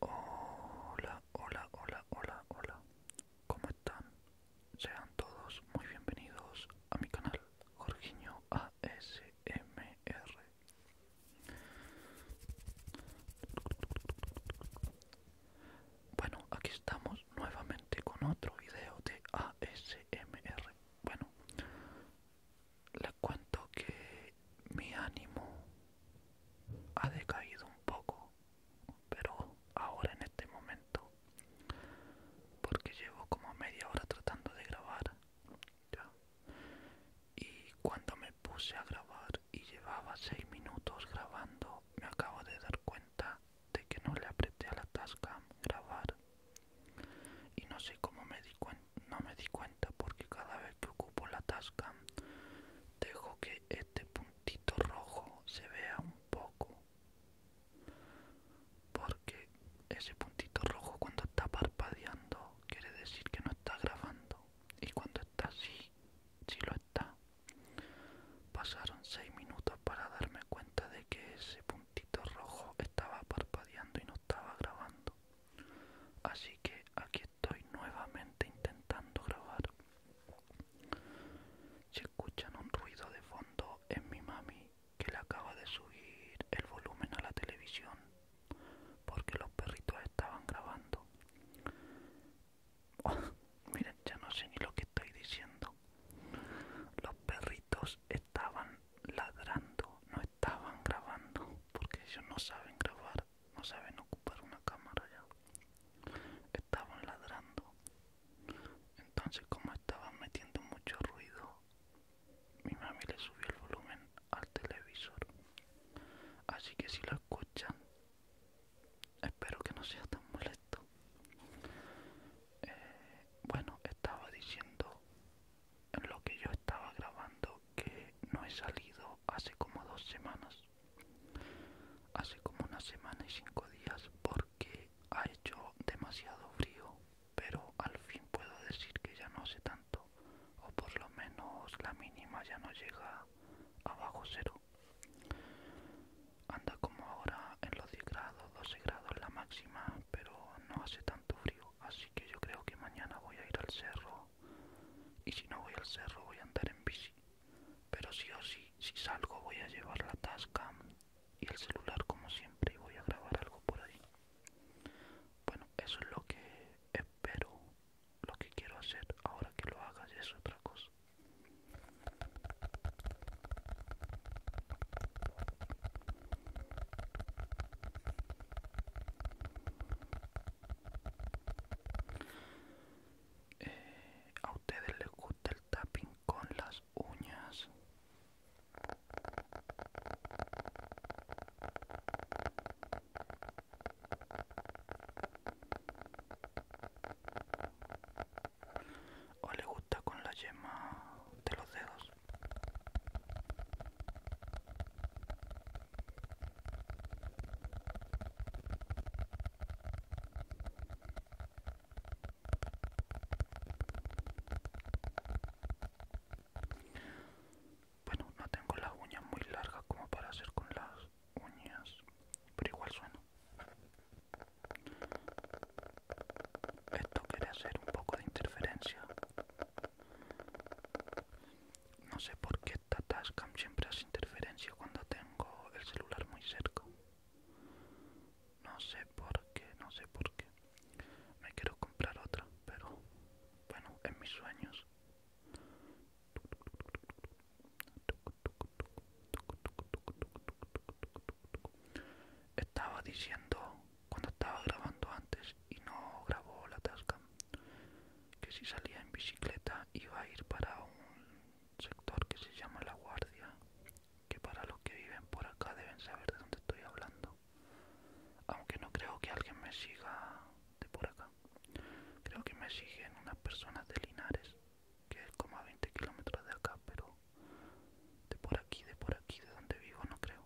Hola, hola, hola, hola, hola. ¿Cómo están? Sean todos muy bienvenidos a mi canal Jorginho ASMR. Bueno, aquí estamos nuevamente con otro video de ASMR. Bueno, les cuento que mi ánimo ha decaído un poco, pero ahora en este momento, porque llevo como media hora tratando de grabar, y cuando me puse a grabar y llevaba 6 minutos grabando, me acabo de dar cuenta de que no le apreté a la tasca grabar y no sé cómo me di cuenta no me di cuenta porque cada vez que ocupo la tasca dejo que este puntito rojo se vea un poco porque ese puntito rojo cuando está parpadeando quiere decir que no está grabando y cuando está así si sí lo está pasaron 6 minutos para darme cuenta de que ese puntito rojo estaba parpadeando y no estaba grabando así que aquí estoy nuevamente intentando grabar. Si escuchan un ruido de fondo es mi mami que le acaba de subir el volumen a la televisión porque los perritos estaban grabando. Oh, miren, ya no sé ni lo que estoy diciendo. Los perritos estaban ladrando, no estaban grabando porque ellos no saben grabar no saben ocupar una cámara ya. Estaban ladrando. Entonces como estaban metiendo mucho ruido, mi mami le subió el volumen al televisor. Así que si lo escuchan, espero que no sea tan molesto. Eh, bueno, estaba diciendo lo que yo estaba grabando que no he salido hace como dos semanas hace como una semana y cinco días porque ha hecho demasiado frío pero al fin puedo decir que ya no hace tanto o por lo menos la mínima ya no llega abajo cero anda como ahora en los 10 grados 12 grados la máxima pero no hace tanto frío así que yo creo que mañana voy a ir al cerro y si no voy al cerro voy a andar en bici. Pero sí o sí, si salgo voy a llevar la Tascam y el celular como siempre y voy a grabar algo por ahí. Bueno, eso es lo que espero, lo que quiero hacer. Ahora que lo haga es otra cosa. Eh, ¿A ustedes les gusta el tapping con las uñas? ¿O le gusta con la yema de los dedos? Bueno, no tengo las uñas muy largas como para hacer con las uñas, pero igual suena. Esto quiere hacer un poco de interferencia no sé por qué esta Tascam siempre hace interferencia cuando tengo el celular muy cerca. No sé por qué, no sé por qué. Me quiero comprar otra, pero bueno, en mis sueños. Estaba diciendo cuando estaba grabando antes y no grabó la tasca que si salía en bicicleta iba a ir para un sector que se llama La Guardia que para los que viven por acá deben saber de dónde estoy hablando aunque no creo que alguien me siga de por acá creo que me siguen unas personas de Linares que es como a 20 kilómetros de acá pero de por aquí de por aquí de donde vivo no creo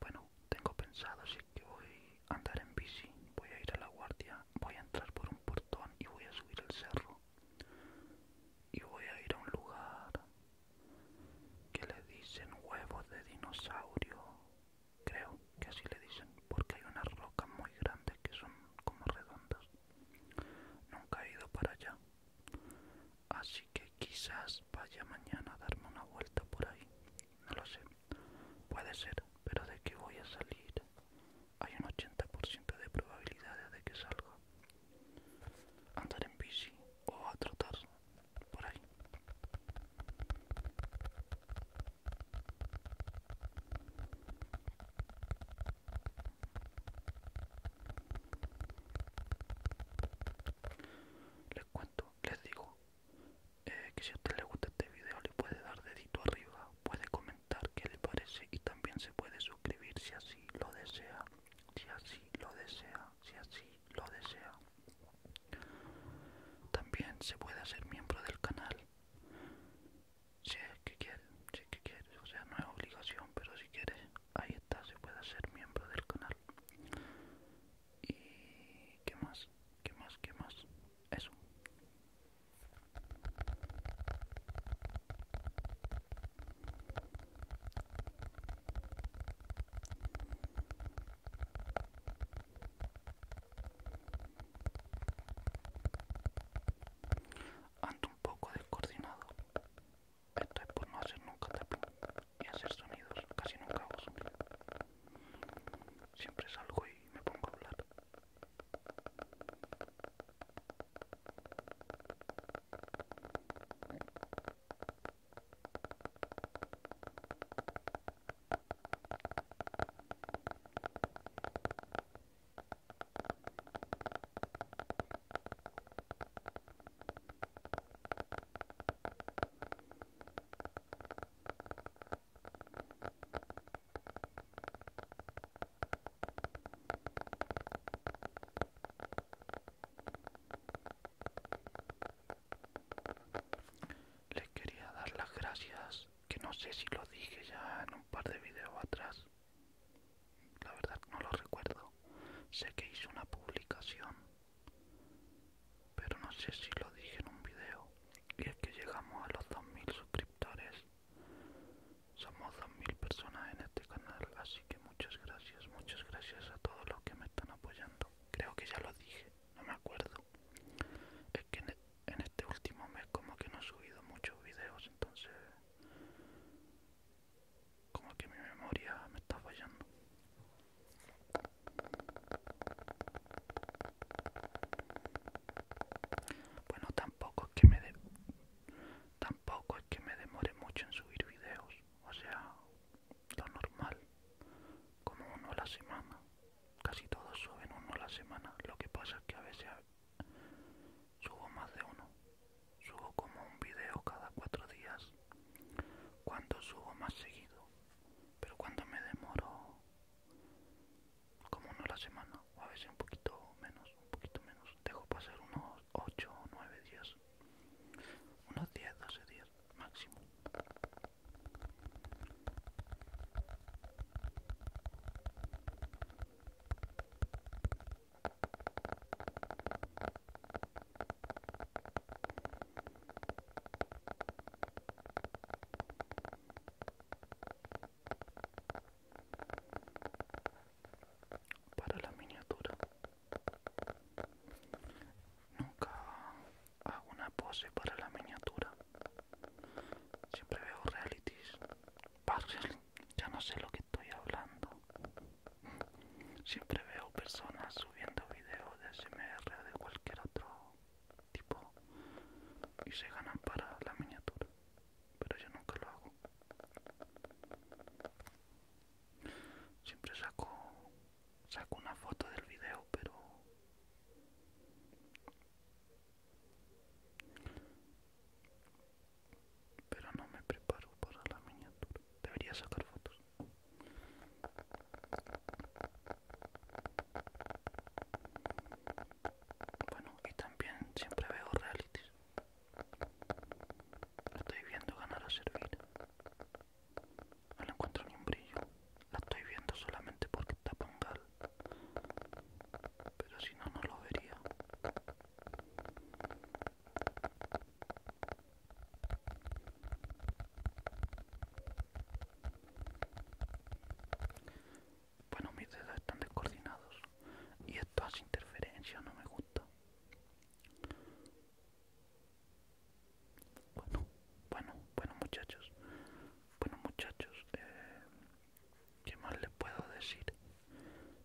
bueno, tengo pensado así que voy a andar en bici, voy a ir a la guardia, voy a entrar por un portón y voy a subir el cerro. Y voy a ir a un lugar que le dicen huevos de dinosaurio, creo que así le dicen, porque hay unas rocas muy grandes que son como redondas. Nunca he ido para allá, Así que quizás vaya mañana a darme una vuelta por ahí. No lo sé. Puede ser, pero de qué voy a salir hay un 80% de probabilidad de que salga. Andar en bici o a trotar por ahí. Les cuento, les digo eh, que si a usted le gusta este video le puede dar dedito arriba, puede comentar qué le parece y también se puede suscribir si así lo desea, si así lo desea, si así lo desea. También se puede hacer miembro del canal. Si es que quiere, si es que quiere, o sea, no es obligación, pero si quiere, ahí está se puede ser miembro del canal y qué más qué más qué más eso Ando un poco descoordinado es por no hacer nunca ni y hacer sonidos, casi nunca hago Siempre salgo y me pongo a hablar. Les quería dar las gracias, que no sé si lo dije ya en un par de videos atrás, la verdad no lo recuerdo. Sé que hice una publicación, pero no sé si lo dije en un video. Y es que llegamos a los 2.000 suscriptores. Somos 2.000 personas en este canal, así que muchas gracias, muchas gracias a todos los que me están apoyando. Creo que ya lo dije, no me acuerdo. Es que en e, este último mes como que no he subido muchos videos, entonces como que mi memoria me está fallando bueno tampoco es que me tampoco es que me demore mucho en subir videos o sea lo normal como uno a la semana casi todos suben uno a la semana lo que pasa es que a veces Subo más de uno. Subo como un video cada cuatro días. Cuando subo más seguido. Pero cuando me demoro como uno a la semana. O a veces un poquito menos. Un poquito menos. Dejo pasar unos 8 o 9 días. Unos 10, 12 días máximo para la miniatura nunca hago una pose para la miniatura siempre veo realities ya no sé lo que estoy hablando. Siempre veo personas subiendo videos de SMR o de cualquier otro tipo y se ganan para la miniatura, pero yo nunca lo hago. Siempre saco saco una foto del video, pero pero no me preparo para la miniatura. Debería sacar fotos. Bueno, y también siempre veo realities. La estoy viendo ganar a servir. No encuentro ni un brillo. La estoy viendo solamente porque está gal pero si no, no lo vería. Bueno, mis dedos están descoordinados y esto hace interferencia, no me gusta. Bueno, bueno, bueno muchachos, bueno muchachos, eh, ¿Qué más le puedo decir?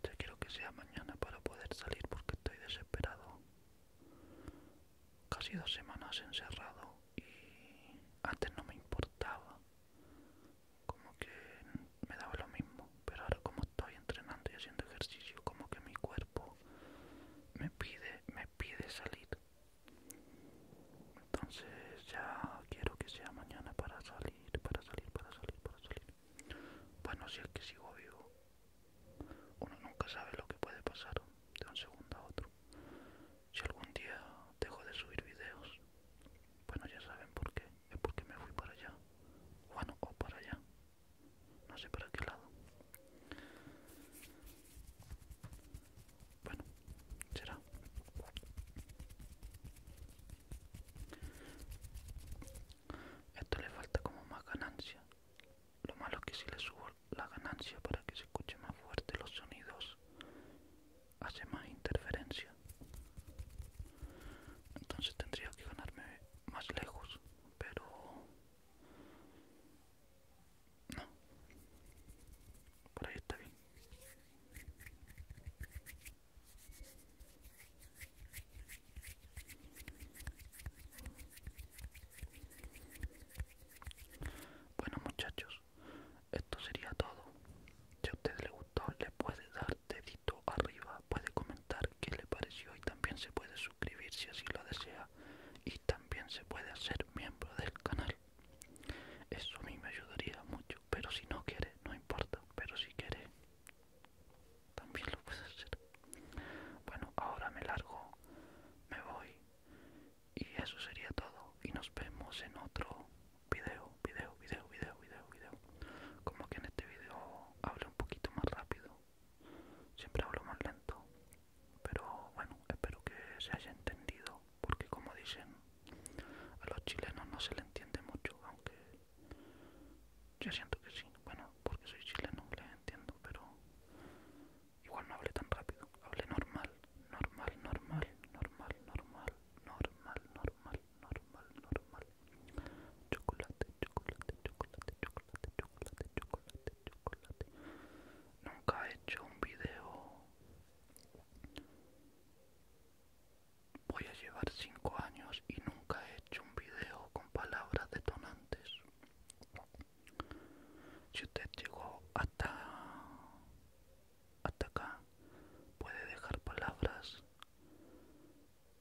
Yo quiero que sea mañana para poder salir porque estoy desesperado. Casi dos semanas encerrado y antes no me importaba. Como que me daba lo mismo. Pero ahora como estoy entrenando y haciendo ejercicio, como que mi cuerpo me pide, me pide salir entonces ya quiero que sea mañana para salir para salir para salir para salir bueno si es que sigo vivo uno nunca sabe lo que puede pasar de un segundo a otro si algún día dejo de subir videos bueno ya saben por qué es porque me fui para allá bueno o para allá no sé para qué lado bueno será esto le falta como más ganancia. Lo malo es que si le subo la ganancia para que se escuche más fuerte los sonidos, hace más interferencia. Entonces tendría que ganarme más lejos, pero... No. Por ahí está bien. Bueno muchachos, esto sería todo. Si a ustedes les gustó, le puede dar dedito arriba, puede comentar qué le pareció y también se puede suscribir si así lo desea y también se puede hacer miembro del canal. Eso a mí me ayudaría mucho pero si no quiere, no importa, pero si quiere, también lo puedes hacer. Bueno, ahora me largo, me voy y eso sería todo y nos vemos en otro video, video, video, video, video, video. Como que en este video hablo un poquito más rápido, siempre hablo más lento, pero bueno, espero que se haya entendido porque como dicen, a los chilenos no se le entiende mucho, aunque yo siento que sí, bueno, porque soy chileno, les entiendo, pero igual no hablé tan rápido, hable normal, normal, normal, normal, normal, normal, normal, normal, normal, chocolate, chocolate, chocolate, chocolate, chocolate, chocolate, chocolate. Nunca he hecho un video Voy a llevar 5 años y nunca he hecho un video con palabras detonantes. Si usted llegó hasta, hasta acá, puede dejar palabras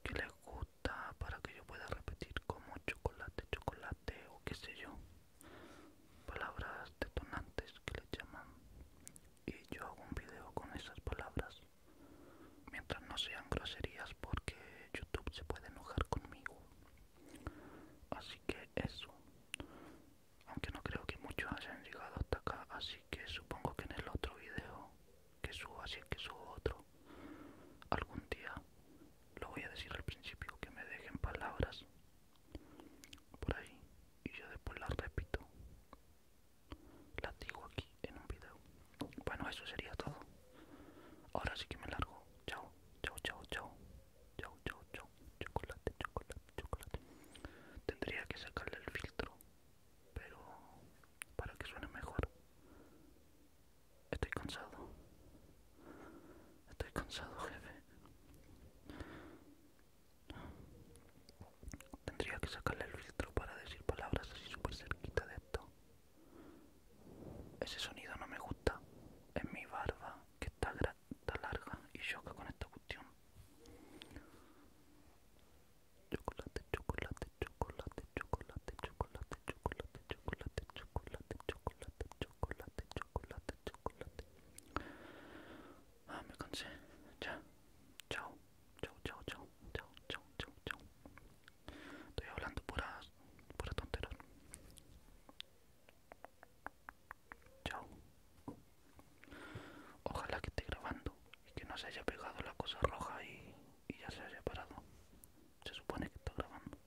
que le gusta para que yo pueda repetir como chocolate, chocolate o qué sé yo palabras detonantes que le llaman y yo hago un video con esas palabras mientras no sean groserías porque YouTube se puede enojar conmigo así que eso aunque no creo que muchos hayan llegado hasta acá así que supongo que en el otro video que subo así es que subo otro algún día lo voy a decir al principio que me dejen palabras por ahí y yo después las repito las digo aquí en un video bueno eso sería todo ahora sí que me largo chao chao chao chao chao chao chao chocolate chocolate chocolate tendría que sacarle el filtro pero para que suene mejor estoy cansado estoy cansado jefe Tendría que sacarle el filtro para decir palabras así súper cerquita de esto. Ese sonido no me gusta. Es mi barba que está, larga y choca con esta cuestión. chocolate, chocolate, chocolate, chocolate, chocolate, chocolate, chocolate, chocolate, chocolate, chocolate, chocolate, chocolate, Ah, me cansé. Ya. Chao. Chao, chao, chao. Chao, chao, chao, Estoy hablando puras, pura tonteras. Chao. Ojalá que esté grabando y que no se haya pegado la cosa roja y, y ya se haya parado. Se supone que está grabando.